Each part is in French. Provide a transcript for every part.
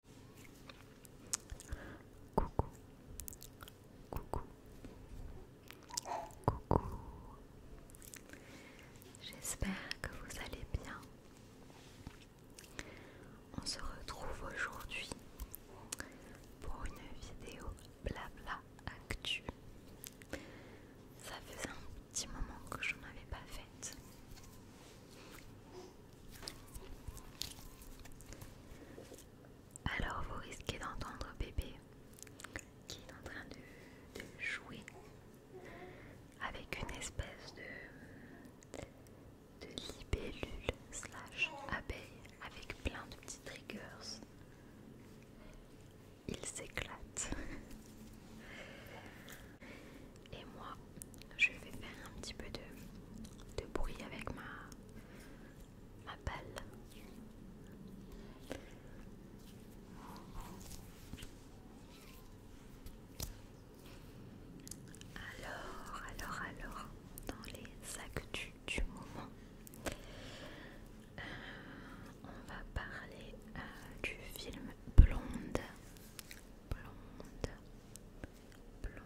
Coucou. Coucou. Coucou. J'espère que vous allez bien. On se retrouve aujourd'hui pour une vidéo blabla actu. Ça faisait un petit moment que je n'en avais pas faite. Alors vous risquez d'entendre bébé qui est en train de, jouer avec une espèce de, de libellule slash abeille avec plein de petites triggers. Il s'éclate. Et moi, je vais faire un petit peu de, bruit avec ma, balle. Alors, alors, alors, dans les sacs du moment, euh, on va parler euh, du film Blonde. Blonde. Blonde.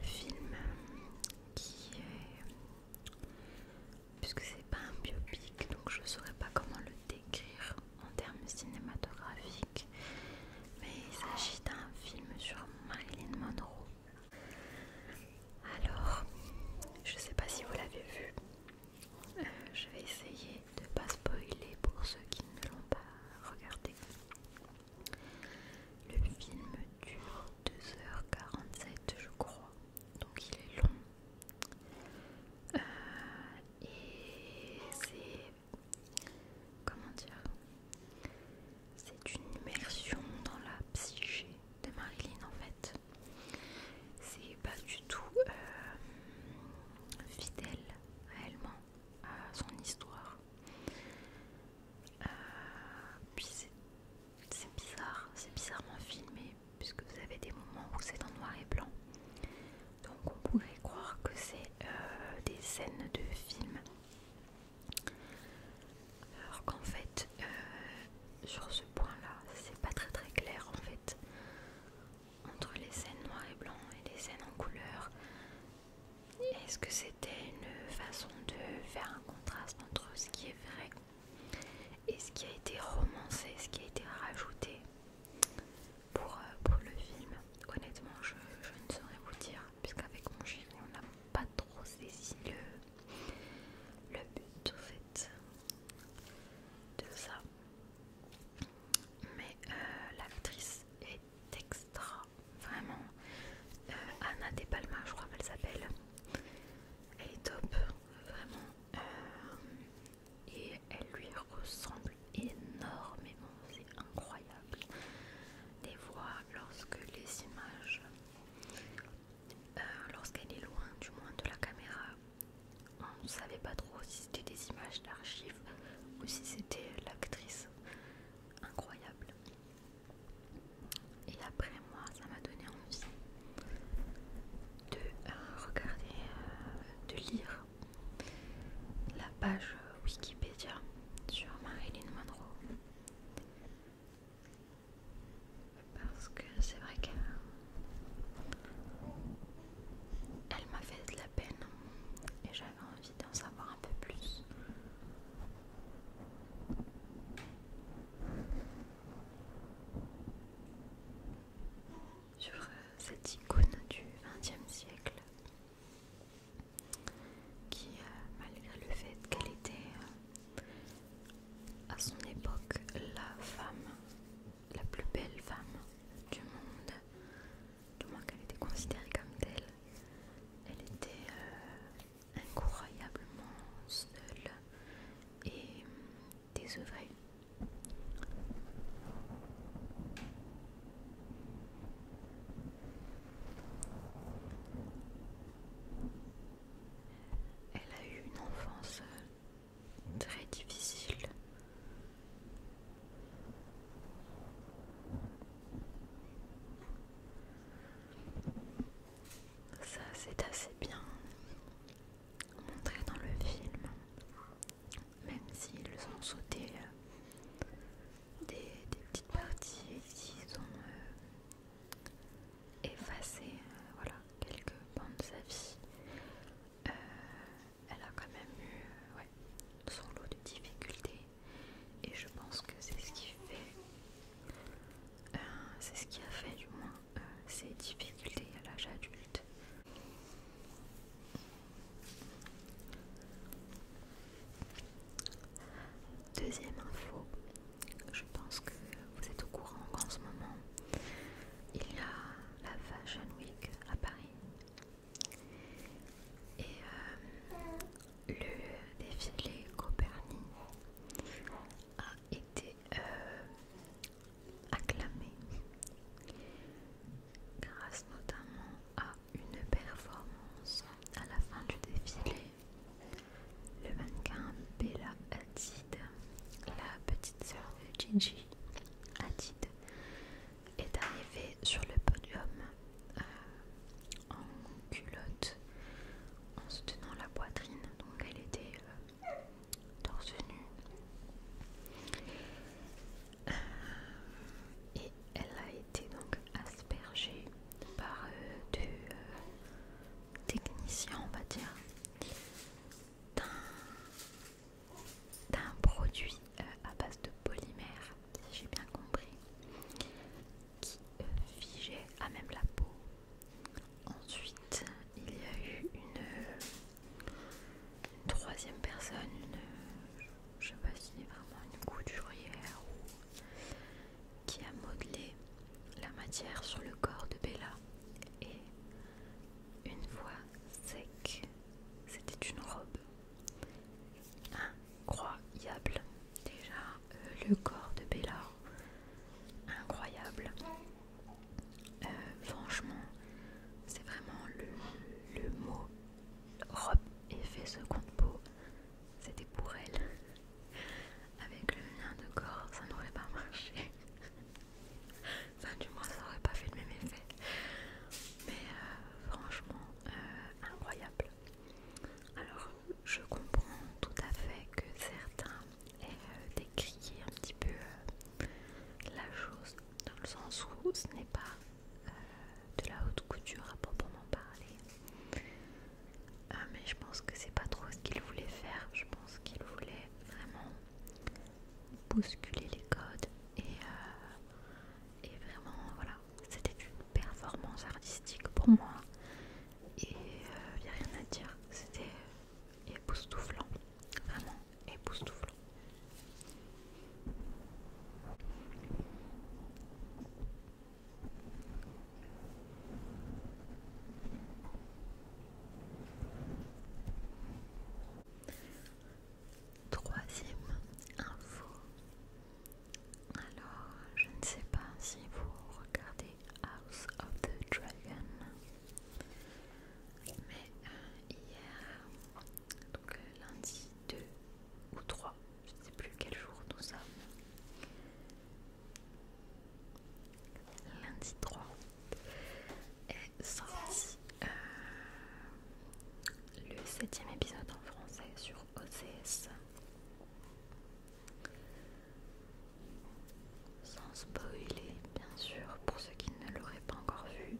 Le film qui est... Puisque c'est pas un biopic, donc je saurais pas comment le décrire en termes cinématographiques, mais il s'agit d'un film sur Marilyn Monroe. Alors, je sais pas si vous l'avez vu, euh, je vais essayer de pas spoiler pour ceux qui ne l'ont pas regardé. Le film dure 2h47 je crois, donc il est long. Euh, et c'est... comment dire C'est une immersion dans la psyché de Marilyn en fait. C'est pas du tout euh, fidèle réellement à son histoire. Euh, puis c'est bizarre, c'est bizarrement filmé puisque vous avez des moments où c'est en noir et blanc. Donc on pourrait croire que c'est euh, des scènes de film. Alors qu'en fait, euh, sur ce point-là, c'est pas très très clair en fait entre les scènes noires et blanc et les scènes en couleur. Est-ce que c'était une façon de faire un contraste entre ce qui est vrai et ce qui a été romancé, ce qui a été rajouté pour, euh, le film Honnêtement, je, ne saurais vous dire, puisqu'avec mon chéri, on n'a pas trop saisi le, but, fait, de ça mais euh, l'actrice est extra, vraiment. Euh, Anna De Palma, je crois qu'elle s'appelle. Elle est top, vraiment. Euh, et elle lui ressemble énormément, c'est incroyable. Des voix, lorsque les images, lorsqu'elle est loin du moins de la caméra, on ne savait pas trop si c'était des images d'archives ou si c'était l'actrice incroyable. Et après moi, ça m'a donné envie de euh, regarder, euh, de lire la page Wikipédia sur Marilyn Monroe. Parce que c'est vrai que elle m'a fait de la peine et j'avais envie d'en savoir un peu plus. Sur euh, cette icône du XXe siècle, qui, euh, malgré le fait qu'elle était euh, à son époque la femme, la plus belle femme du monde, du moins qu'elle était considérée comme telle, elle était euh, incroyablement seule et désœuvrée. Elle a eu une enfance euh, très difficile ça c'est assez bien montré dans le film, même s'ils ont sauté euh, des, petites parties s'ils ont euh, effacé euh, voilà, quelques pans de sa vie elle a quand même eu euh, son lot de difficultés et je pense que c'est ce qui fait euh, c'est ce qui a fait du moins euh, ses difficultés à l'âge adulte Deuxième info, je pense que vous êtes au courant qu'en ce moment il y a la Fashion Week à Paris et euh, le défilé Copernic a été euh, acclamé grâce notamment à une performance à la fin du défilé. Le mannequin Bella Hadid, la petite sœur de Gigi Hadid, est arrivée sur le podium euh, en culotte, en se tenant la poitrine, donc elle était euh, torse nue euh, et elle a été donc aspergée par deux techniciens, on va dire, d'un produit euh, à base de polymère, si j'ai bien compris, qui euh, figeait à même la peau. Ensuite, il y a eu une, troisième personne, une, je ne sais pas si c'est vraiment une couturière qui a modelé la matière sur le corps de Bella et une fois sec, c'était une robe. Incroyable. Déjà, euh, le corps de Bella. Incroyable. Euh, franchement, c'est vraiment le, mot robe effet seconde peau. C'était pour elle. Avec le lien de corps, ça n'aurait pas marché. Enfin, du moins, ça n'aurait pas fait le même effet. Mais euh, franchement, euh, incroyable. Alors, je comprends tout à fait que certains aient euh, un petit peu la chose, dans le sens où ce n'est pas de la haute couture à proprement parler. mais je pense que c'est pas trop ce qu'il voulait faire. Je pense qu'il voulait vraiment bousculer les codes et, et vraiment, voilà, c'était une performance artistique pour moi. Et il euh, n'y a rien à dire, c'était époustouflant, vraiment époustouflant troisième info. Alors, je ne sais pas si vous regardez House of the Dragon, mais euh, hier, donc euh, lundi 2 ou 3, je sais plus quel jour nous sommes. Lundi 3 et sorti euh, le septième épisode en français sur OCS. Sans spoiler, bien sûr, pour ceux qui ne l'auraient pas encore vu.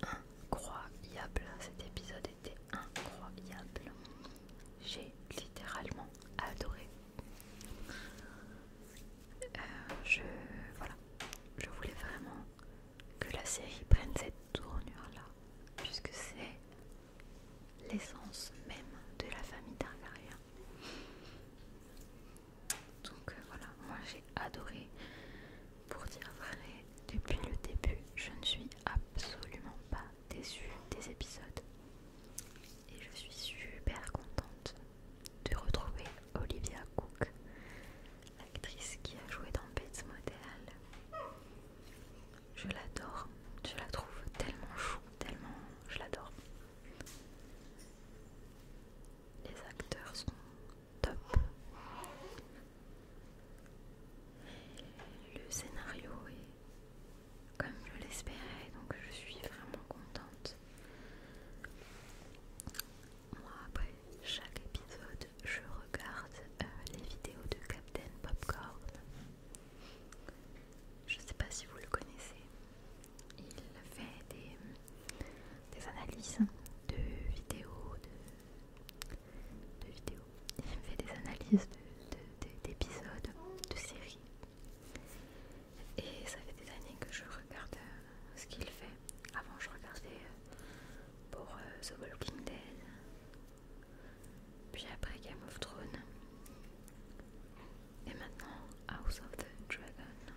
Incroyable, cet épisode était incroyable. J'ai littéralement adoré. Euh, je voilà, je voulais vraiment que la série prenne cette tournure-là, puisque c'est l'essence même de la famille Targaryen. Donc euh, voilà, moi j'ai adoré. Pour dire vrai, depuis le début, je ne suis absolument pas déçue des épisodes. Et je suis super contente de retrouver Olivia Cook l'actrice qui a joué dans Bates Motel. Je l'adore, je la trouve tellement chou, tellement je l'adore. Les acteurs sont top. Le scénario est comme je l'espérais, donc je suis vraiment contente moi après chaque épisode, je regarde euh, les vidéos de Captain Popcorn. Je sais pas si vous le connaissez. Il fait des, analyses de vidéos, de, vidéos. Il fait des analyses d'épisodes, de, séries. Et ça fait des années que je regarde euh, ce qu'il fait. Avant, je regardais euh, pour euh, The Walking Dead, puis après Game of Thrones, et maintenant House of the Dragon.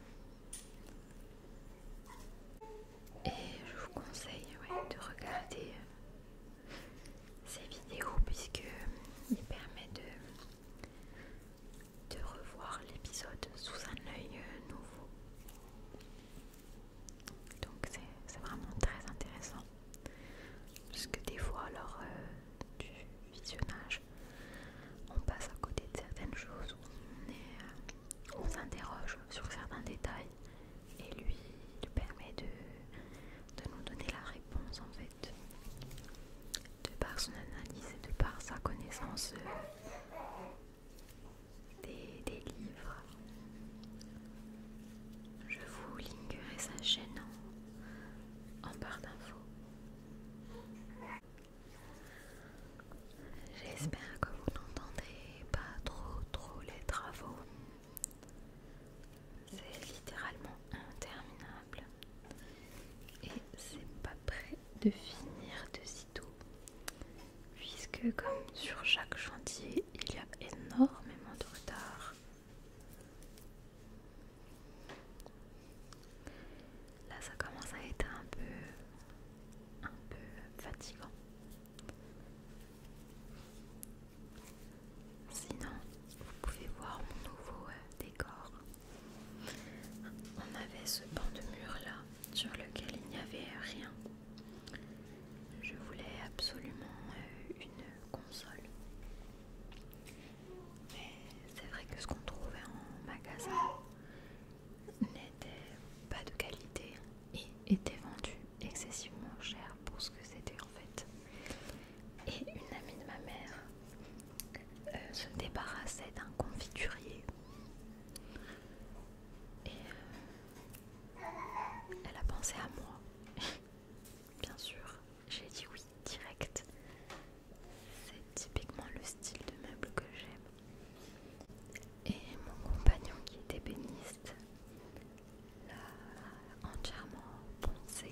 Et je vous conseille de regarder euh, ces vidéos puisque euh, il permettent de, revoir l'épisode sous un œil nouveau. Donc c'est vraiment très intéressant. Parce que des fois, lors euh, du visionnage, on passe à côté de certaines choses, on euh, s'interroge sur certains détails et lui, il permet de, nous donner la réponse en fait. De par son analyse et de par sa connaissance euh, des, livres. Je vous linkerai sa chaîne en, barre d'infos. J'espère que vous n'entendez pas trop trop les travaux. C'est littéralement interminable. Et c'est pas prêt de finir de s'y puisque comme sur chaque chantier il y a énormément de retard là ça commence à être un peu un peu fatigant sinon vous pouvez voir mon nouveau euh, décor on avait ce banc de mur là sur lequel il n'y avait rien je voulais absolument euh, une console. Mais c'est vrai que ce qu'on trouvait en magasin n'était pas de qualité et était vendu excessivement cher pour ce que c'était en fait. Et une amie de ma mère euh, se débarrassait d'un confiturier. Et euh, elle a pensé à moi. Bien sûr, j'ai dit oui direct. C'est typiquement le style de meuble que j'aime. Et mon compagnon qui est ébéniste l'a entièrement poncé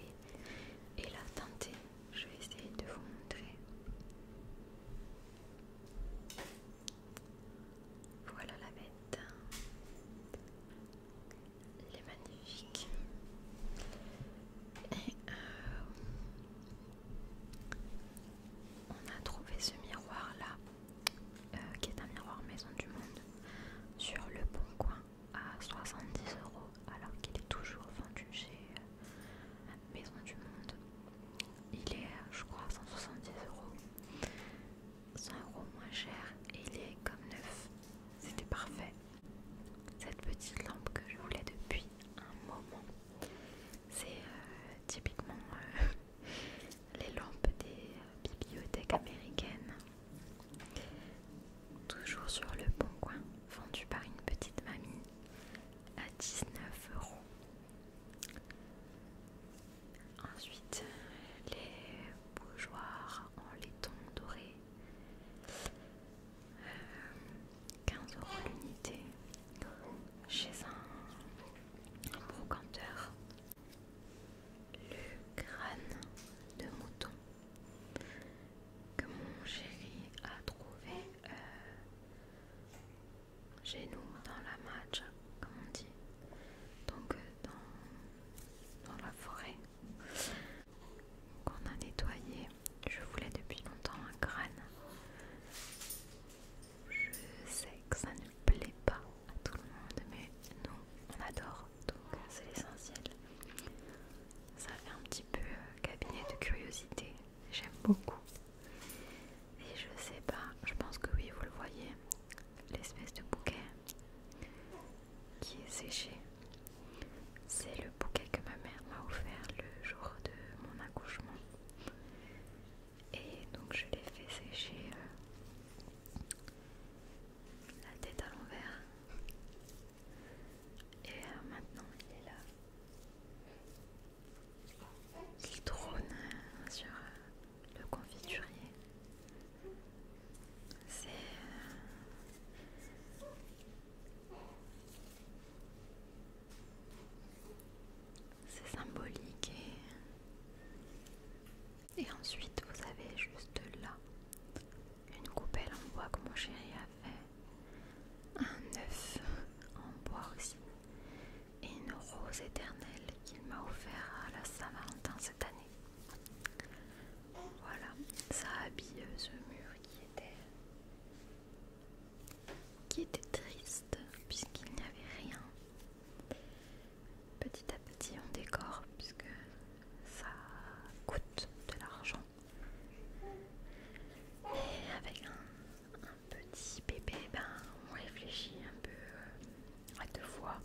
et l'a teinté. Je vais essayer de vous montrer. Voilà la bête. Elle est magnifique. Et euh, on a trouvé ce miroir là, euh, qui est un miroir Maison du Monde, sur le Bon Coin à 70 euros, alors qu'il est toujours vendu chez euh, Maison du Monde. Il est, je crois, à 170 euros. 100 euros moins cher et il est comme neuf. C'était parfait. Cette petite lampe que je voulais depuis un moment, c'est euh, typiquement euh, les lampes des euh, bibliothèques américaines. Toujours sur le bon coin, vendue par une petite mamie à 19 euros. Ensuite, les bougeoirs en laiton doré, 15 euh, euros l'unité chez un, brocanteur. Le crâne de mouton que mon chéri a trouvé euh, chez nous, dans la match, comme on dit, donc euh, dans, la forêt, qu'on a nettoyé. Je voulais depuis longtemps un crâne. Je sais que ça ne plaît pas à tout le monde, mais nous, on adore, donc euh, c'est l'essentiel. Ça fait un petit peu euh, cabinet de curiosité, j'aime beaucoup. Et je sais pas, je pense que oui, vous le voyez, l'espèce de bouquet qui est séché. C'est le bouquet que ma mère m'a offert le jour de mon accouchement. Et donc je l'ai fait sécher euh, la tête à l'envers. Et euh, maintenant il est là. Il trône euh, sur, le confiturier. Euh, c'est symbolique et, et ensuite vous avez juste là une coupelle en bois que mon chéri a fait, un œuf en bois aussi et une rose éternelle qu'il m'a offert à la Saint-Valentin cette année. Voilà, ça habille ce mur qui était, qui était triste puisqu'il n'y avait rien. Petit à petit on décore puisque ça coûte de l'argent. Et avec un, un petit bébé, ben, on réfléchit un peu euh, à deux fois.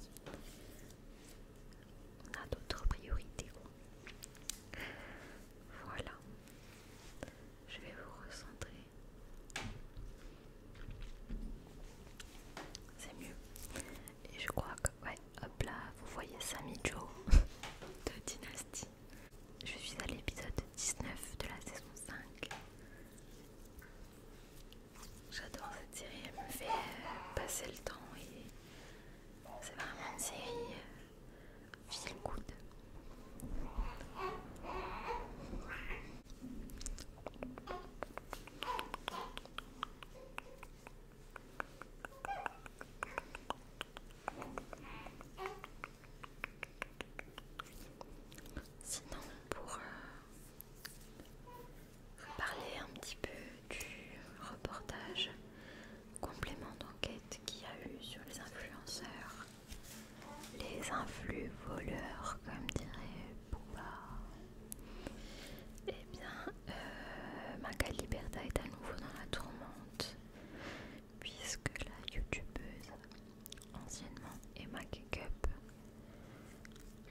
On a d'autres priorités. Voilà. Je vais vous recentrer. C'est mieux. Et je crois que... Ouais, hop là, vous voyez Sami Jo de Dynasty. Je suis à l'épisode 19 de la saison 5. J'adore cette série, elle me fait euh, passer le temps et c'est vraiment une série euh, feel good. Sinon, pour euh, vais parler un petit peu du reportage complément d'enquête qu'il y a eu sur les influenceurs, les influx voleurs, comme dirait Bouba. Eh bien, euh, Magali est à nouveau dans la tourmente, puisque la youtubeuse anciennement Emma up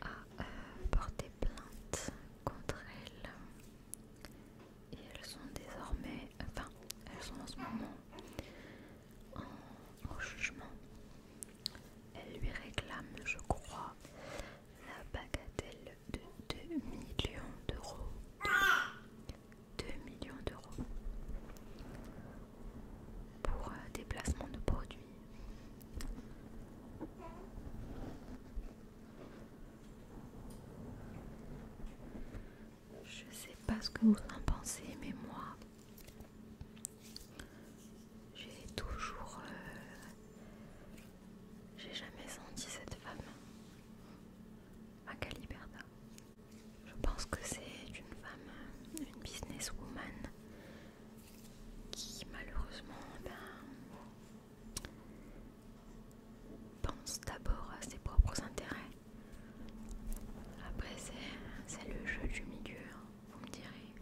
a porter euh, porté plainte contre elle. Et elles sont désormais, enfin, elles sont en ce moment en, jugement. Elle lui réclame, je crois, la bagatelle de 2 millions d'euros. 2 millions d'euros pour euh, déplacement de produits je sais pas ce que vous en pensez, mais moi, j'ai toujours, euh, j'ai jamais senti cette femme, Magali Berda. Je pense que c'est une femme, une businesswoman qui malheureusement ben, pense d'abord à ses propres intérêts. Après c'est le jeu du milieu, hein, vous me direz.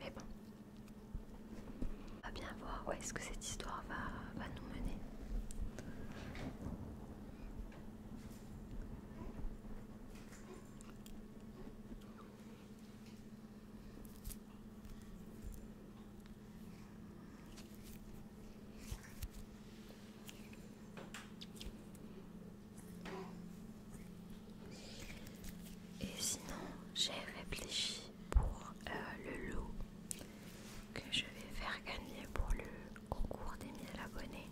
Mais bon, on va bien voir où est-ce que cette histoire va, va nous mener. Et sinon, j'ai réfléchi pour euh, le lot que je vais faire gagner pour le concours des mille abonnés.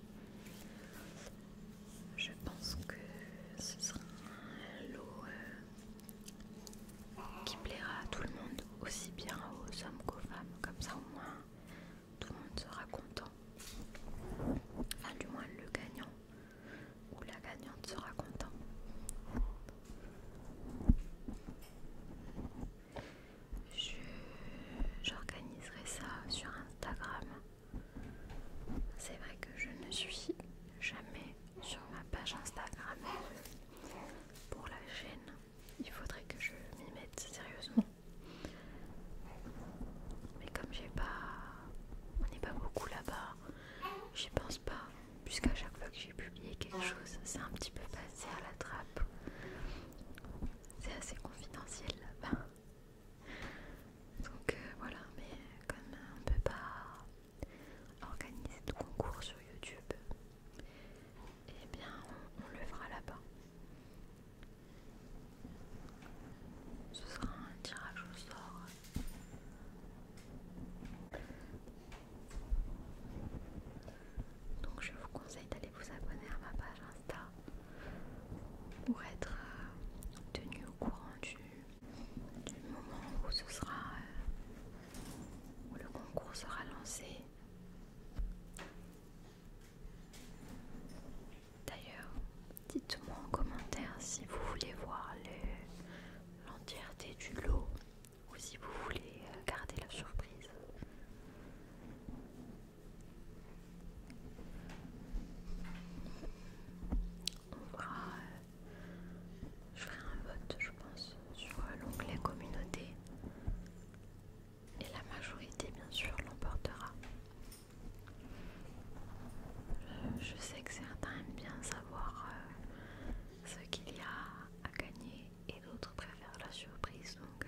Je pense que ce sera un lot euh, qui plaira à tout le monde, aussi bien aux hommes qu'aux femmes, comme ça au moins tout le monde sera content. Enfin du moins le gagnant ou la gagnante sera content. J'organiserai ça sur Instagram c'est vrai que je ne suis jamais sur ma page Instagram pour la chaîne. Il faudrait que je m'y mette sérieusement. Mais comme j'ai pas. On n'est pas beaucoup là-bas, j'y pense pas. Puisqu'à chaque fois que j'ai publié quelque chose, c'est un petit peu passé à la trappe. C'est assez confidentiel là-bas. Donc euh, voilà, mais comme on peut pas organiser de concours sur YouTube, et eh bien on, on le fera là-bas. Ce sera un tirage au sort. Donc je vous conseille d'aller vous abonner à ma page pour être euh, tenu au courant du, moment où ce sera euh, où le concours sera lancé. D'ailleurs, dites-moi en commentaire si vous voulez voir l'entièreté du lot ou si vous voulez euh, garder la surprise. On verra. Euh, je ferai un vote, je pense, sur l'onglet communauté. Et la majorité, bien sûr, l'emportera. Euh, je, sais que certains aiment bien savoir euh, ce qu'il y a à gagner et d'autres préfèrent la surprise. Donc,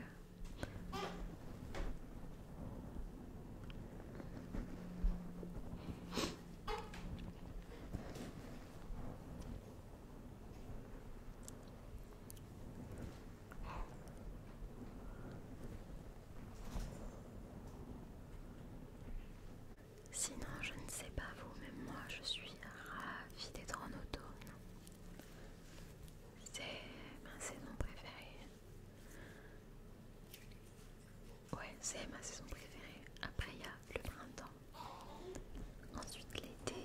Sinon, je ne sais pas vous, mais moi je suis ravie d'être en automne. C'est ben, ma saison préférée. Ouais, c'est ma saison préférée. Après, il y a le printemps, ensuite l'été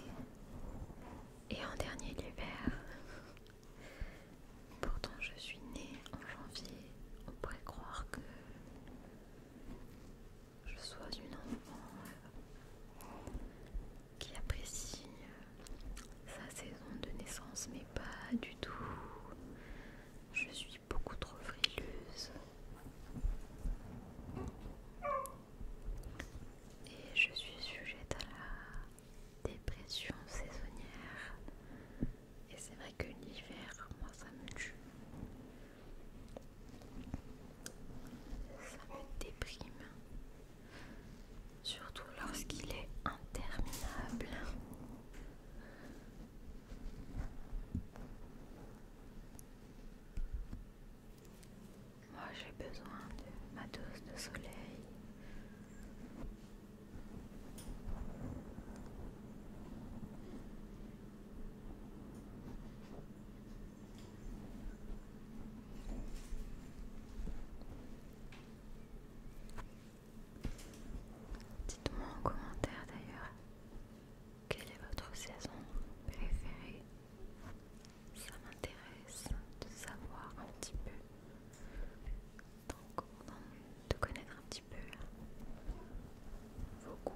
et en dernier l'hiver. Pourtant, je suis née en janvier. On pourrait croire que je sois une enfant euh, qui apprécie euh, sa saison de naissance, mais pas du tout. Je suis beaucoup trop frileuse. Et je suis sujette à la dépression saisonnière. Et c'est vrai que l'hiver, moi, ça me tue. Ça me déprime surtout lorsqu'il est interminable. Moi j'ai besoin de ma dose de soleil. Dites-moi en commentaire d'ailleurs quelle est votre saison préférée. Ça m'intéresse de savoir un petit peu. Donc, de connaître un petit peu vos goûts.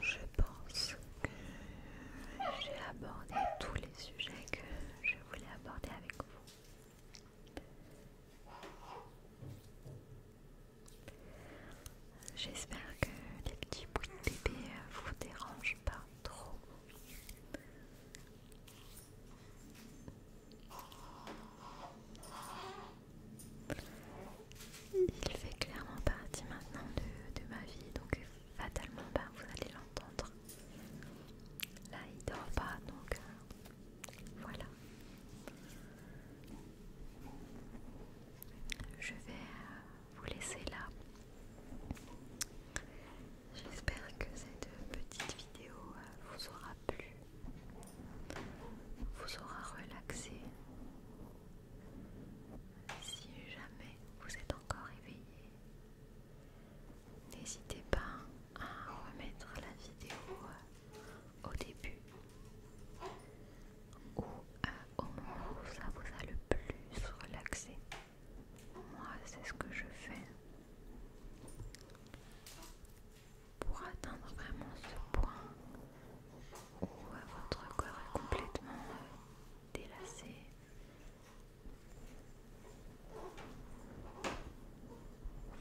Je pense que j'ai abordé tous les sujets que je voulais aborder avec vous. J'espère que les petits bruits de bébé euh, vous dérangent pas trop. Il fait clairement partie maintenant de, ma vie, donc fatalement pas, bah, vous allez l'entendre. Là il dort pas, donc euh, voilà. Je vais euh, vous laisser là. J'espère que cette petite vidéo euh, vous aura plus vous aura relaxé. Si jamais vous êtes encore éveillé, n'hésitez pas à remettre la vidéo euh, au début ou euh, au moment où ça vous a le plus relaxé. Moi, c'est ce que je fais pour atteindre vraiment ce point où euh, votre corps est complètement euh, délacé.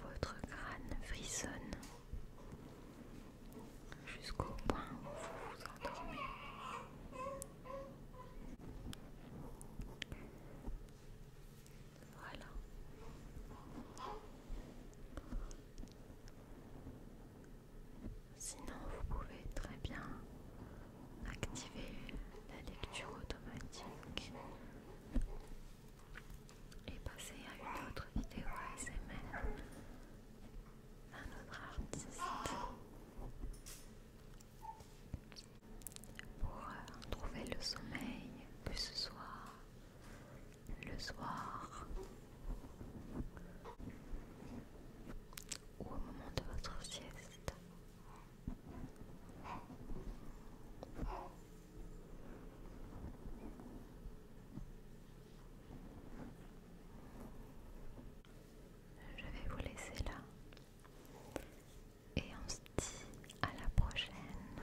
Votre crâne frissonne jusqu'au point où vous vous endormez. Voilà. Sinon, vous pouvez très bien activer la lecture automatique et passer à une autre vidéo ASMR d'un autre artiste pour euh, trouver le sommeil, que ce soit le soir ou au moment de votre sieste. Je vais vous laisser là et on se dit à la prochaine.